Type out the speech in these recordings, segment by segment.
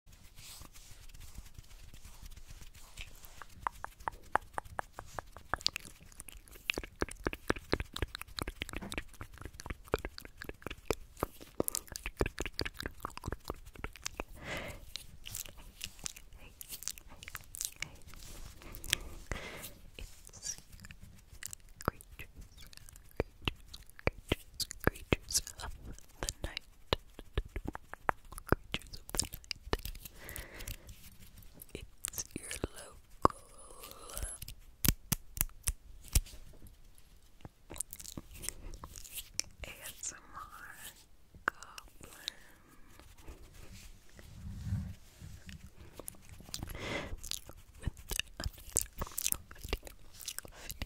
It's creatures, creatures, creatures of the night creatures of the night. It's your local ASMR goblin.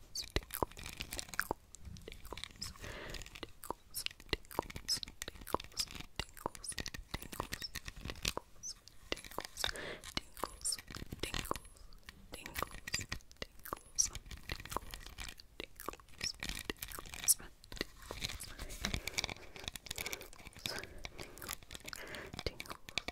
tickles, tickles, tickles, tickles, tickles, tickles, tickles, tickles. Tingles, tingles, tingles, tingles, tingles, tingles, tingles, tingles, tingles, tingles,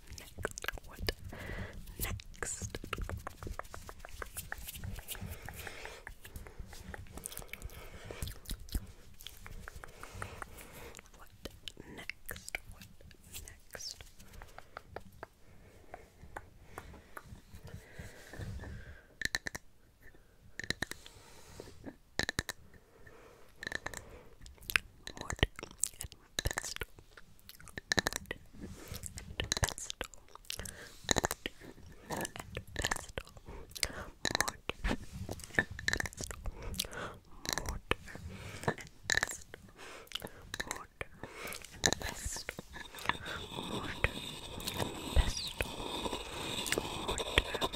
next? What next? What next? What What Pestle. And pestle. And pestle. Mortar. And pestle. Mortar. And pestle. Mortar. And pestle. Mortar. And pestle. Mortar. And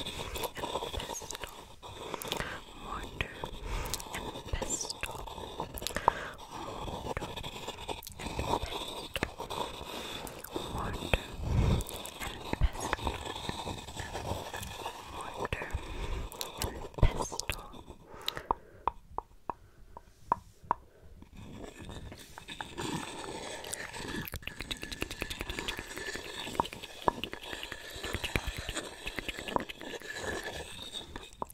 pestle. Mortar and pestle mortar and pestle, mortar and pestle, mortar and pestle, mortar and pestle.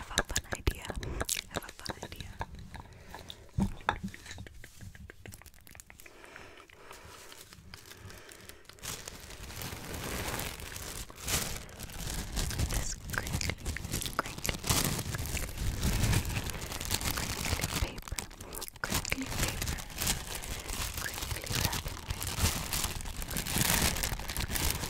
have a fun idea. have a fun idea. have a fun idea. This crinkly, crinkly, crinkly paper, crinkly paper, crinkly paper, crinkly paper,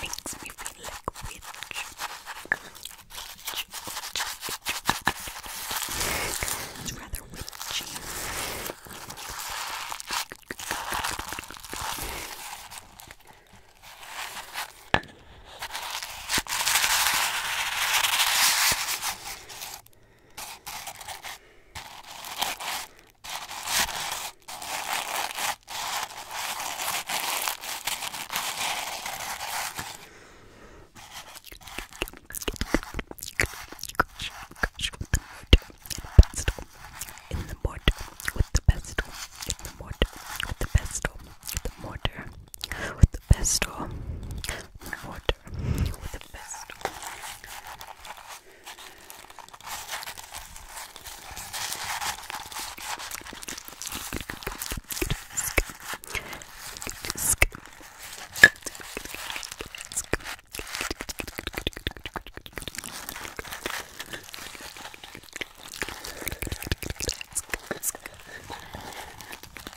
Makes me feel like a witch. witch, witch, witch. It's rather witchy. In the mortar with the pestle. In the mortar with the pestle. In the mortar with the pestle and water with the pestle.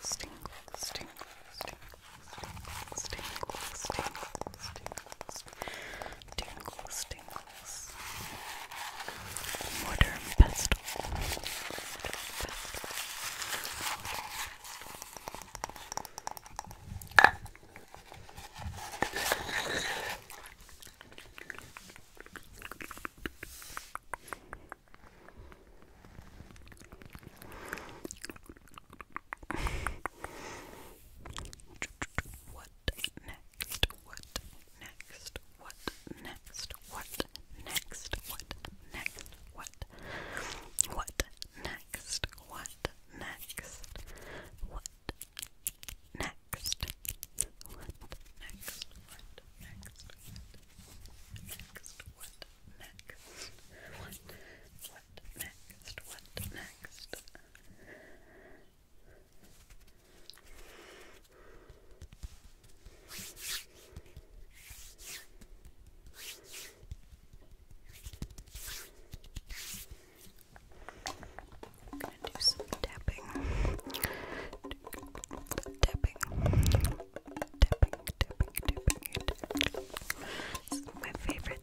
Stingles, what next? What next? What next? What next? What next? What? What next? What next? next? What next? What next? What next? What next? What next? What next? I'm gonna do some tapping. Tapping. Tapping, tapping, tapping. This my favorite,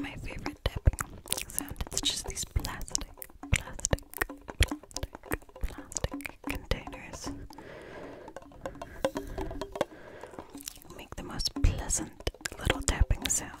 my favorite tapping sound. It's just these plastic, plastic, plastic, plastic containers. Make the most pleasant little tapping sound.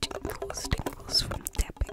Tingles, tingles from tapping.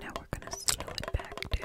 Now we're going to slow it back down.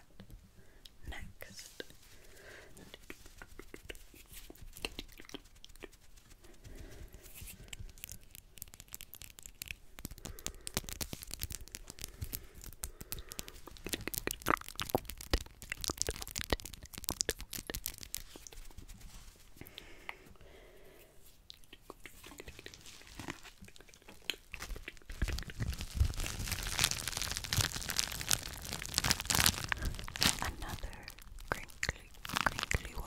what next. Another crinkly, crinkly one.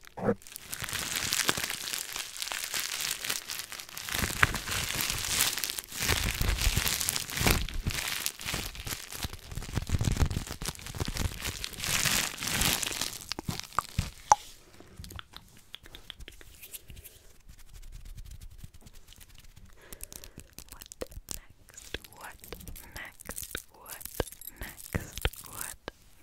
next? What next? What next? What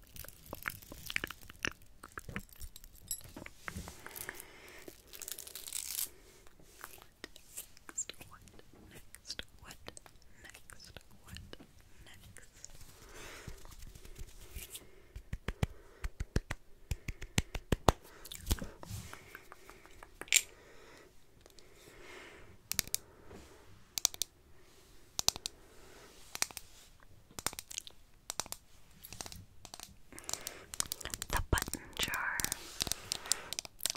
next? What next? What next? What next? The button jar.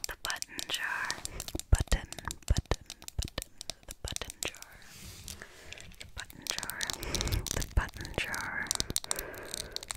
The button jar. Button, button, button. The button jar. The button jar. The button jar. Button, button,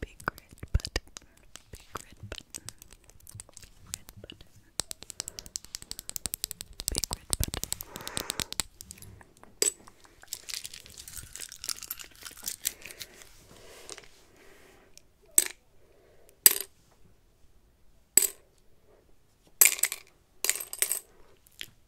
Big red button. Big red button. Red button. Big red button.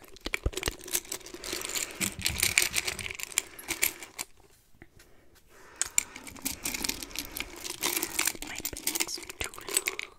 My pants are too long.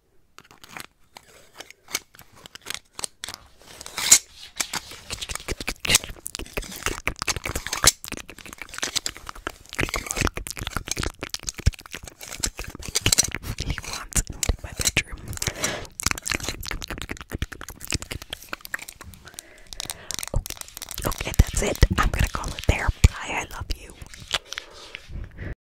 He wants into my bedroom. Okay, okay, that's it. I'm gonna call it there. Bye, I love you.